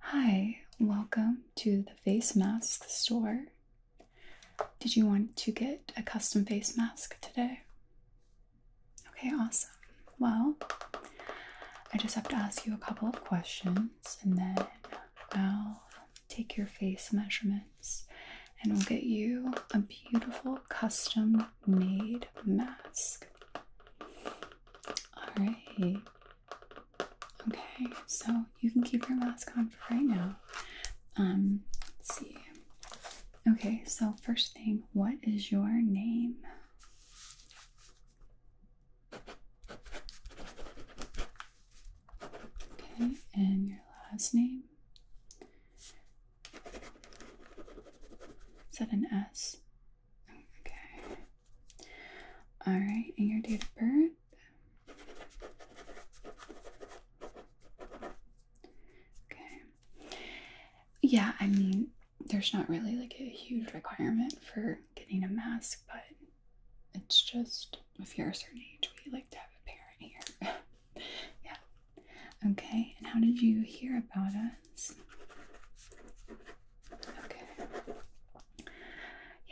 Hi, welcome to the face mask store. Did you want to get a custom face mask today? Okay, awesome. Well, I just have to ask you a couple of questions and then I'll take your face measurements and we'll get you a beautiful custom Made mask. Alright. Okay, so you can keep your mask on for right now. Um, let's see. Okay, so first thing, what is your name? Okay, and your last name? Is that an S. Okay. All right, and your date of birth? Okay. Yeah, I mean, there's not really like a huge requirement for getting a mask, but it's just if you're a certain age, we like to have a parent here. yeah, Okay, and how did you hear about us? Okay.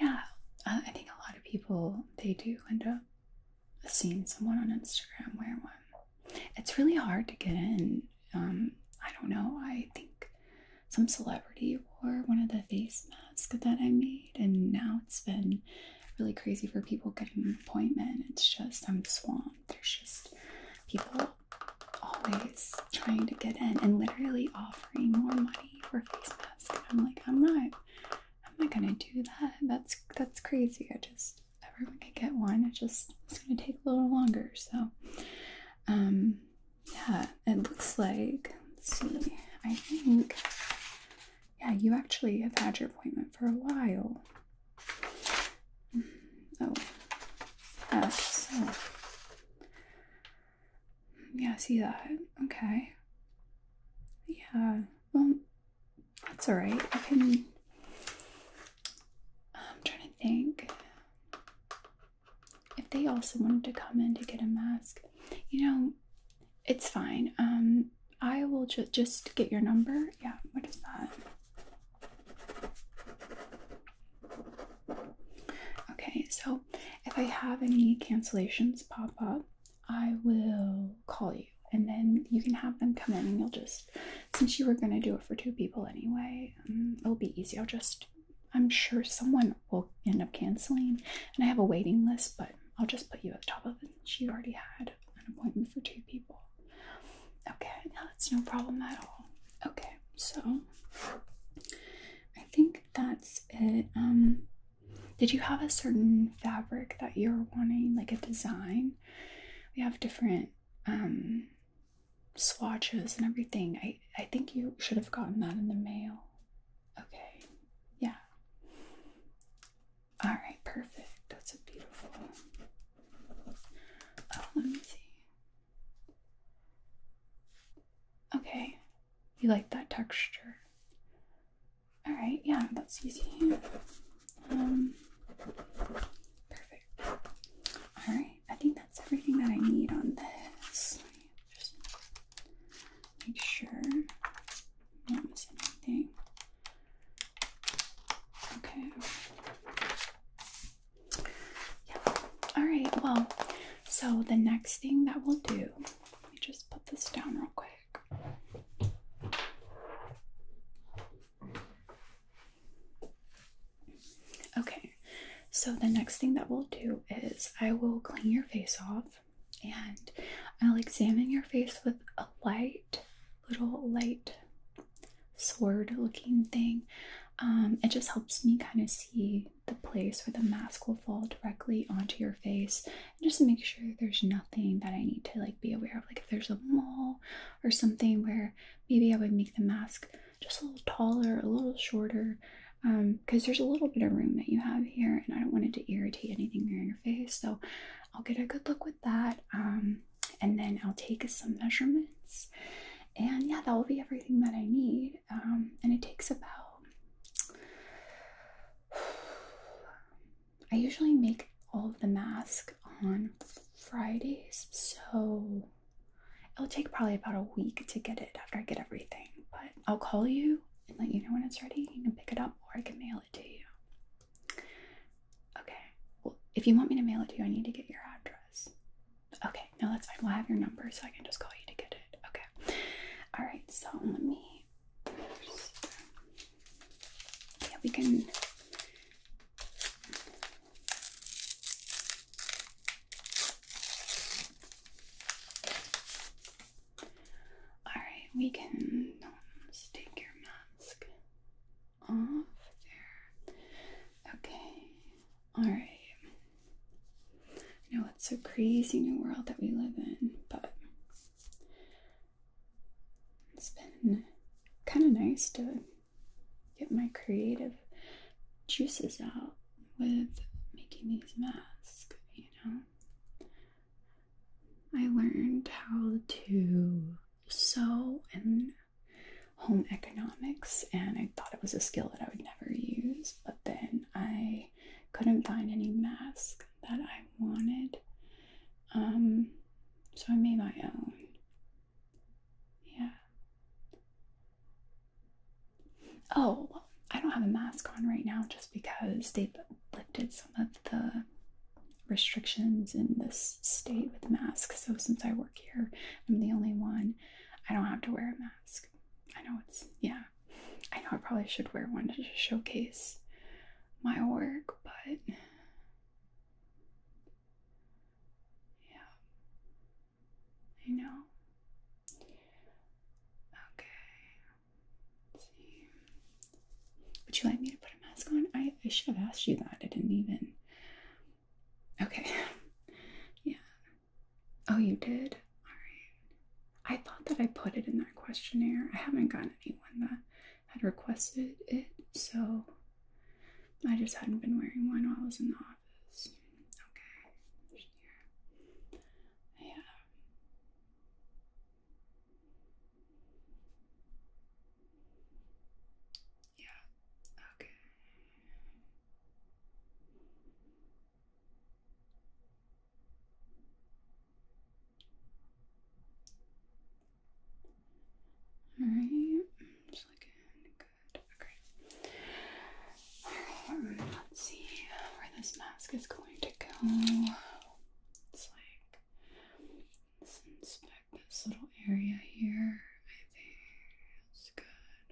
Yeah, uh, I think a lot of people they do end up seeing someone on Instagram wear one. It's really hard to get in. Um, I don't know. I think some celebrity wore one of the face masks that I made, and now it's been really crazy for people getting an appointment. It's just I'm swamped. There's just people always trying to get in and literally offering more money for face masks. I'm like, I'm not, I'm not gonna do that. That's that's crazy. I just everyone could get one. It just it's gonna take a little longer. So, um, yeah. It looks like let's see. I think yeah, you actually have had your appointment for a while. Oh, yes. So. Yeah, I see that. Okay. Yeah. Well, that's all right. I can. I'm trying to think. If they also wanted to come in to get a mask, you know, it's fine. Um, I will just just get your number. Yeah. What is that? Okay, so if I have any cancellations pop up, I will call you and then you can have them come in and you'll just, since you were going to do it for two people anyway, um, it'll be easy. I'll just, I'm sure someone will end up canceling and I have a waiting list, but I'll just put you at the top of it. She already had an appointment for two people. Okay, now that's no problem at all. Okay, so I think that's it. Um, did you have a certain fabric that you're wanting, like a design? We have different um swatches and everything. I I think you should have gotten that in the mail. Okay. Yeah. All right, perfect. That's a beautiful Oh, let me see. Okay, you like that texture. All right, yeah, that's easy. Um, perfect. All right, I think that's everything that I need on this. Just make sure i do not miss anything. Okay. Yeah. All right. Well, so the next thing that we'll do, let me just put this down real quick. Okay, so the next thing that we'll do is I will clean your face off and I'll examine your face with a light little light sword looking thing. Um, it just helps me kind of see the place where the mask will fall directly onto your face and just make sure there's nothing that I need to like be aware of. Like if there's a mole or something where maybe I would make the mask just a little taller, a little shorter, because um, there's a little bit of room that you have here and I don't want it to irritate anything near your face. So I'll get a good look with that. Um, and then I'll take some measurements. And yeah, that will be everything that I need. Um, and it takes about. I usually make all of the masks on Fridays, so it'll take probably about a week to get it after I get everything. But I'll call you and let you know when it's ready. You can pick it up or I can mail it to you. Okay. Well, if you want me to mail it to you, I need to get your address. Okay, no, that's fine. We'll have your number so I can just call you to get it. Okay. All right, so let me. yeah, we can. All right, we can. Um, take your mask off there. Okay, all right. I know it's a crazy new world that we live in, but it's been kind of nice to get my creative juices out with making these masks, you know. I learned how to sew and home economics, and I thought it was a skill that I would never use, but then I couldn't find any mask that I wanted. Um, so I made my own. Yeah. Oh, I don't have a mask on right now just because they've lifted some of the restrictions in this state with masks. So since I work here, I'm the only one. I don't have to wear a mask. I know it's yeah. I know I probably should wear one to showcase my work, but yeah. I know. Okay. Would you like me to put it? mask on? I, I should have asked you that. I didn't even. Okay. Yeah. Oh, you did? All right. I thought that I put it in that questionnaire. I haven't gotten anyone that had requested it, so I just hadn't been wearing one while I was in the office. Okay. Yeah. Yeah, okay. Alright, it's looking good. Okay. let's see where this mask is going to go. It's like this inspection this little area here. I think that's good.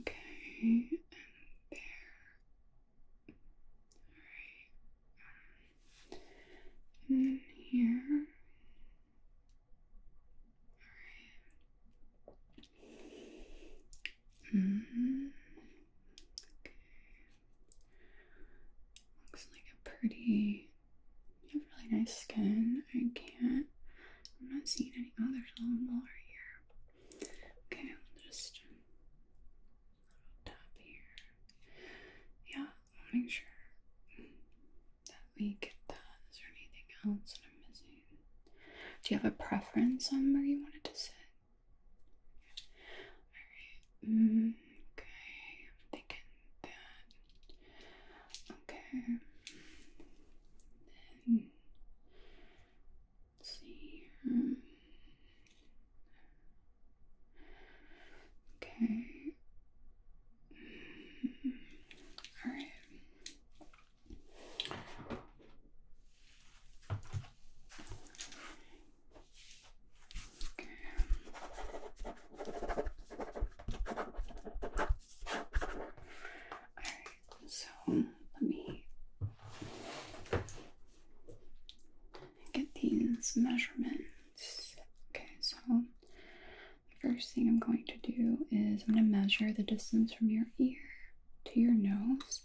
Okay, and there. Alright. And um, here. Alright. -hmm. Okay. Looks like a pretty. You have really nice skin. I can't. I'm not seeing any. other little more here. Okay, I'll just a here. Yeah, I'll make sure that we get that. Is there anything else that I'm missing? Do you have a preference on where you wanted to sit? Alright. Mm, okay, I'm thinking that. Okay. Then see Okay. Alright. Alright, so let me get these measurements. Okay, so the first thing I'm going to do is I'm going to measure the distance from your ear to your nose.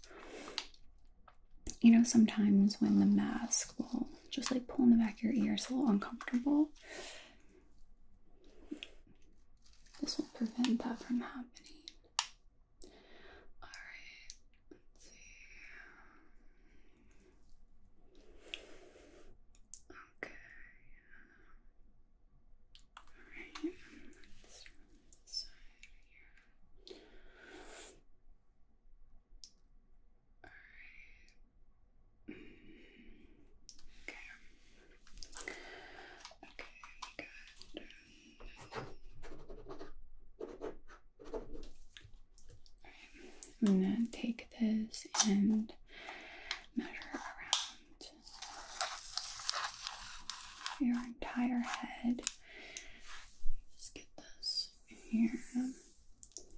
You know, sometimes when the mask will just like pulling the back of your ear. It's a little uncomfortable. This will prevent that from happening. Alright, let's see. Okay. Alright, let's run Alright. I'm gonna take this and measure around your entire head. Just get this here.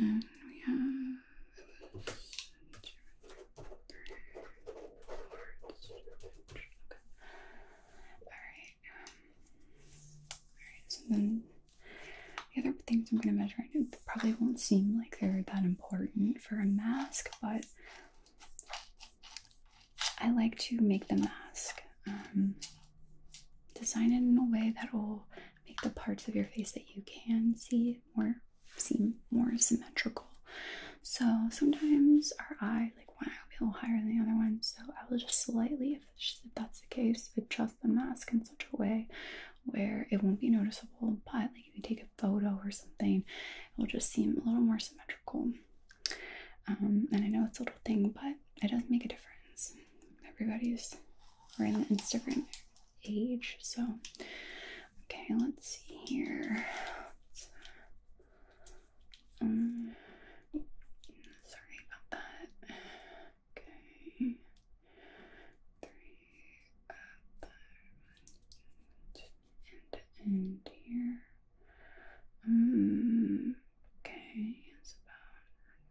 and then we have Alright, alright, so then the other things I'm going to measure, it probably won't seem like they're that important for a mask, but I like to make the mask um, design it in a way that will make the parts of your face that you can see more seem more symmetrical. So sometimes our eye, like one eye will be a little higher than the other one, so I will just slightly, if, that's the case, adjust the mask in such a way where it won't be noticeable, but like if you take a photo or something, it will just seem a little more symmetrical. Um, and I know it's a little thing, but it does make a difference. Everybody's we're in the Instagram age, so okay, let's see here. Um, sorry about that. Okay, three up uh, and end here. Um, okay, it's about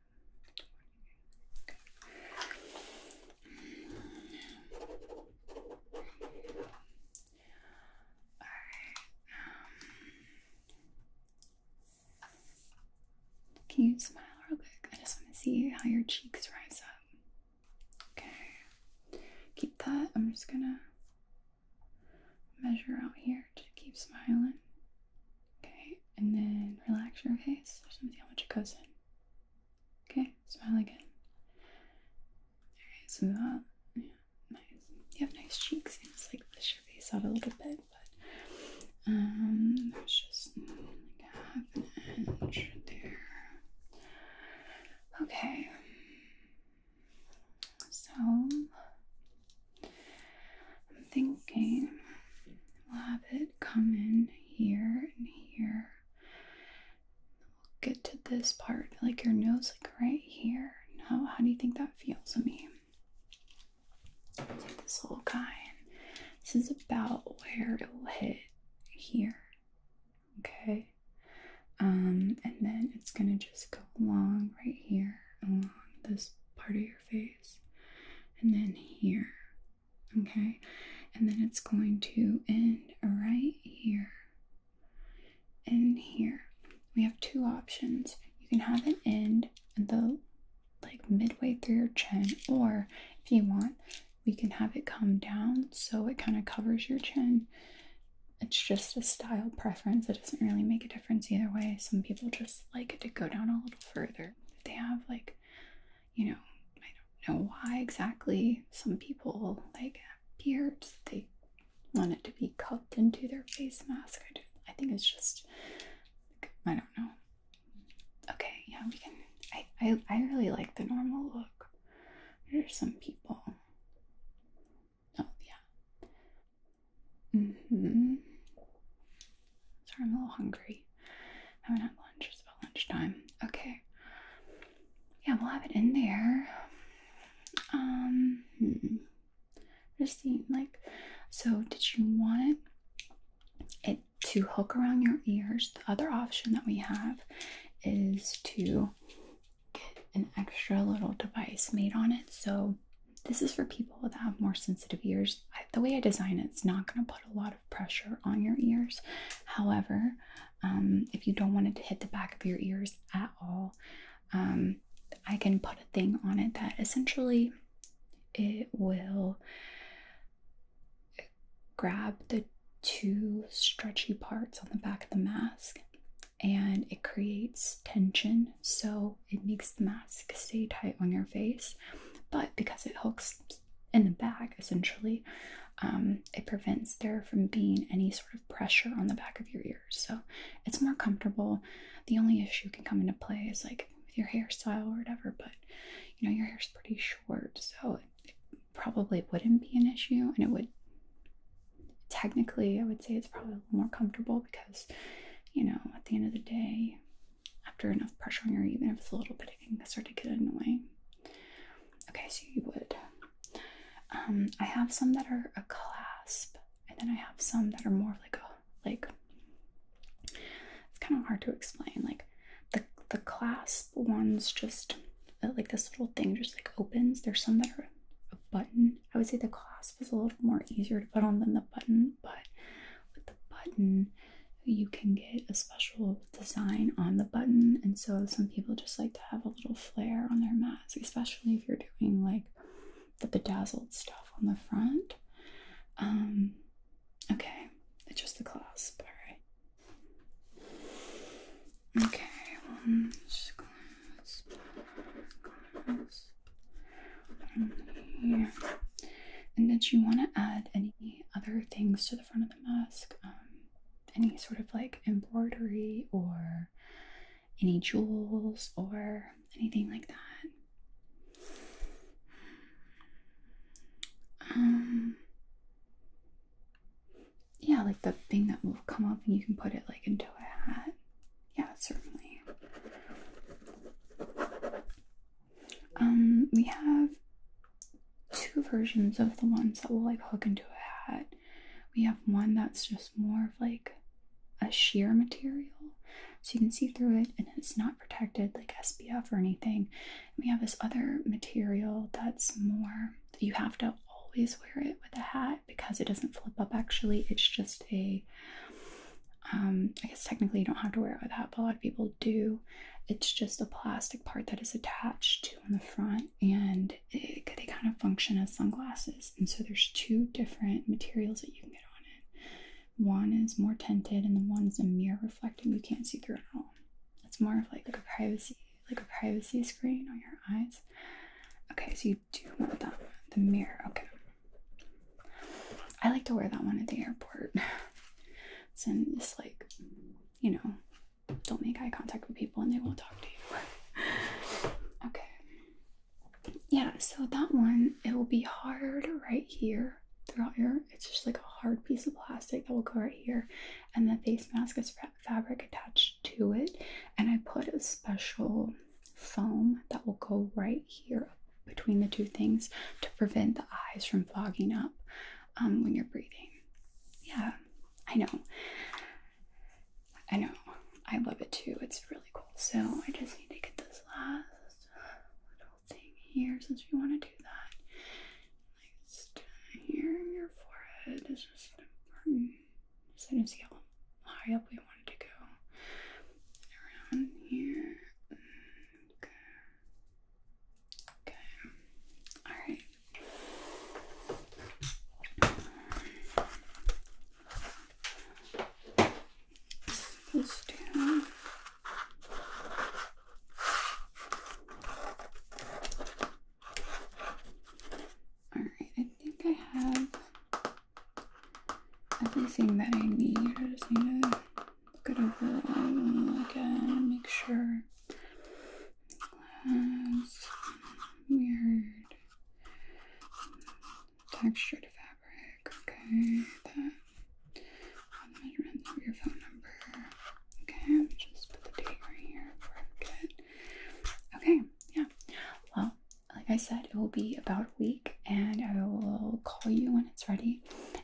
Um, can you smile real quick? I just want to see how your cheeks rise up. Okay. Keep that. I'm just gonna measure out here to keep smiling. Okay, and then relax your face. I just to see how much it goes in. Okay, smile again. Alright, so yeah, nice. You have nice cheeks. just like push your face out a little bit, but um, that's just like half an inch there. Okay, so I'm thinking We'll have it come in here and here. We'll get to this part, like your nose, like right here. How, how do you think that feels? I mean, this little guy, this is about where it will hit here. Okay. Um, and then it's gonna just go along right here, along this part of your face, and then here. Okay, and then it's going to end right here and here. We have two options. You can have it end at the like midway through your chin, or if you want, we can have it come down so it kind of covers your chin. It's just a style preference. It doesn't really make a difference either way. Some people just like it to go down a little further. They have like you know, I don't know why exactly some people like beards, they want it to be cupped into their face mask. I, think it's just, I don't know. Okay, yeah, we can. I, I, I really like the normal look. There's some people. Oh, yeah. Mm hmm. Sorry, I'm a little hungry. I am gonna have lunch. It's about lunchtime. Okay. Yeah, we'll have it in there. Um, hmm. just seeing like, so did you want it, it to hook around your ears? The other option that we have is to get an extra little device made on it. So this is for people that have more sensitive ears the way I design it, it's not going to put a lot of pressure on your ears. However, um, if you don't want it to hit the back of your ears at all, um, I can put a thing on it that essentially it will grab the two stretchy parts on the back of the mask and it creates tension so it makes the mask stay tight on your face but because it hooks in the back, essentially. Um, it prevents there from being any sort of pressure on the back of your ears, so it's more comfortable. The only issue can come into play is like with your hairstyle or whatever, but you know, your hair is pretty short, so it probably wouldn't be an issue, and it would technically, I would say it's probably a little more comfortable because you know, at the end of the day, after enough pressure on your even if it's a little bit, it can start to get annoying. Okay, so you would. Um, I have some that are a clasp, and then I have some that are more like a like. It's kind of hard to explain. Like the the clasp ones, just like this little thing, just like opens. There's some that are a button. I would say the clasp is a little more easier to put on than the button, but with the button, you can get a special design on the button. And so some people just like to have a little flair on their mats, especially if you're doing like the bedazzled stuff on the front. Um, okay, it's just the clasp, alright. Okay, one and here. And did you want to add any? other things to the front of the mask, um, any sort of like embroidery or any jewels or anything like that. Um, yeah, like the thing that will come up and you can put it like into a hat. Yeah, certainly. Um, we have two versions of the ones that will like hook into a hat. We have one that's just more of like a sheer material, so you can see through it, and it's not protected like SPF or anything. And we have this other material that's more you have to always wear it with a hat because it doesn't flip up. Actually, it's just a um, I guess technically you don't have to wear it with that, but a lot of people do. It's just a plastic part that is attached to on the front, and it, kind of function as sunglasses. And so there's two different materials that you can get on it. One is more tinted, and the one's a mirror reflecting. You can't see through it at all. It's more of like, like a privacy, like a privacy screen on your eyes. Okay, so you do want that the mirror. Okay. I like to wear that one at the airport. so i just like, you know, don't make eye contact with people and they won't talk to you. okay. Yeah, so that one, it will be hard right here throughout your, it's just like a hard piece of plastic that will go right here. And the face mask is fabric attached to it. And I put a special foam that will go right here between the two things to prevent the eyes from fogging up um, when you're breathing. Yeah, I know. I know. I love it too. It's really cool. So I just need to get this last little thing here since we want to do that. Like just here in your forehead is just important. So you see how high up we wanted to go. Around here. Okay. All right. Let's do. All right. I think I have everything that I need gonna look again. make sure that's weird textured fabric. Okay, that measurement of your phone number. Okay, just put the date right here before Okay, yeah. Well, like I said, it will be about a week, and I will call you when it's ready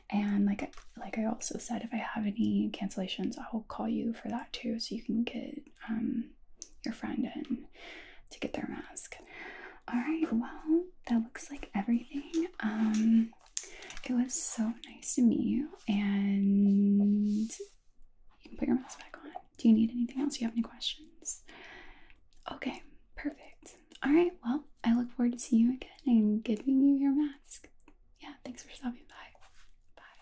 and like like I also said, if I have any cancellations, I'll call you for that too, so you can get um, your friend in to get their mask. All right, well, that looks like everything. Um, it was so nice to meet you, and you can put your mask back on. Do you need anything else? Do you have any questions? Okay, perfect. All right, well, I look forward to seeing you again and giving you your mask. Yeah, thanks for stopping by. Bye.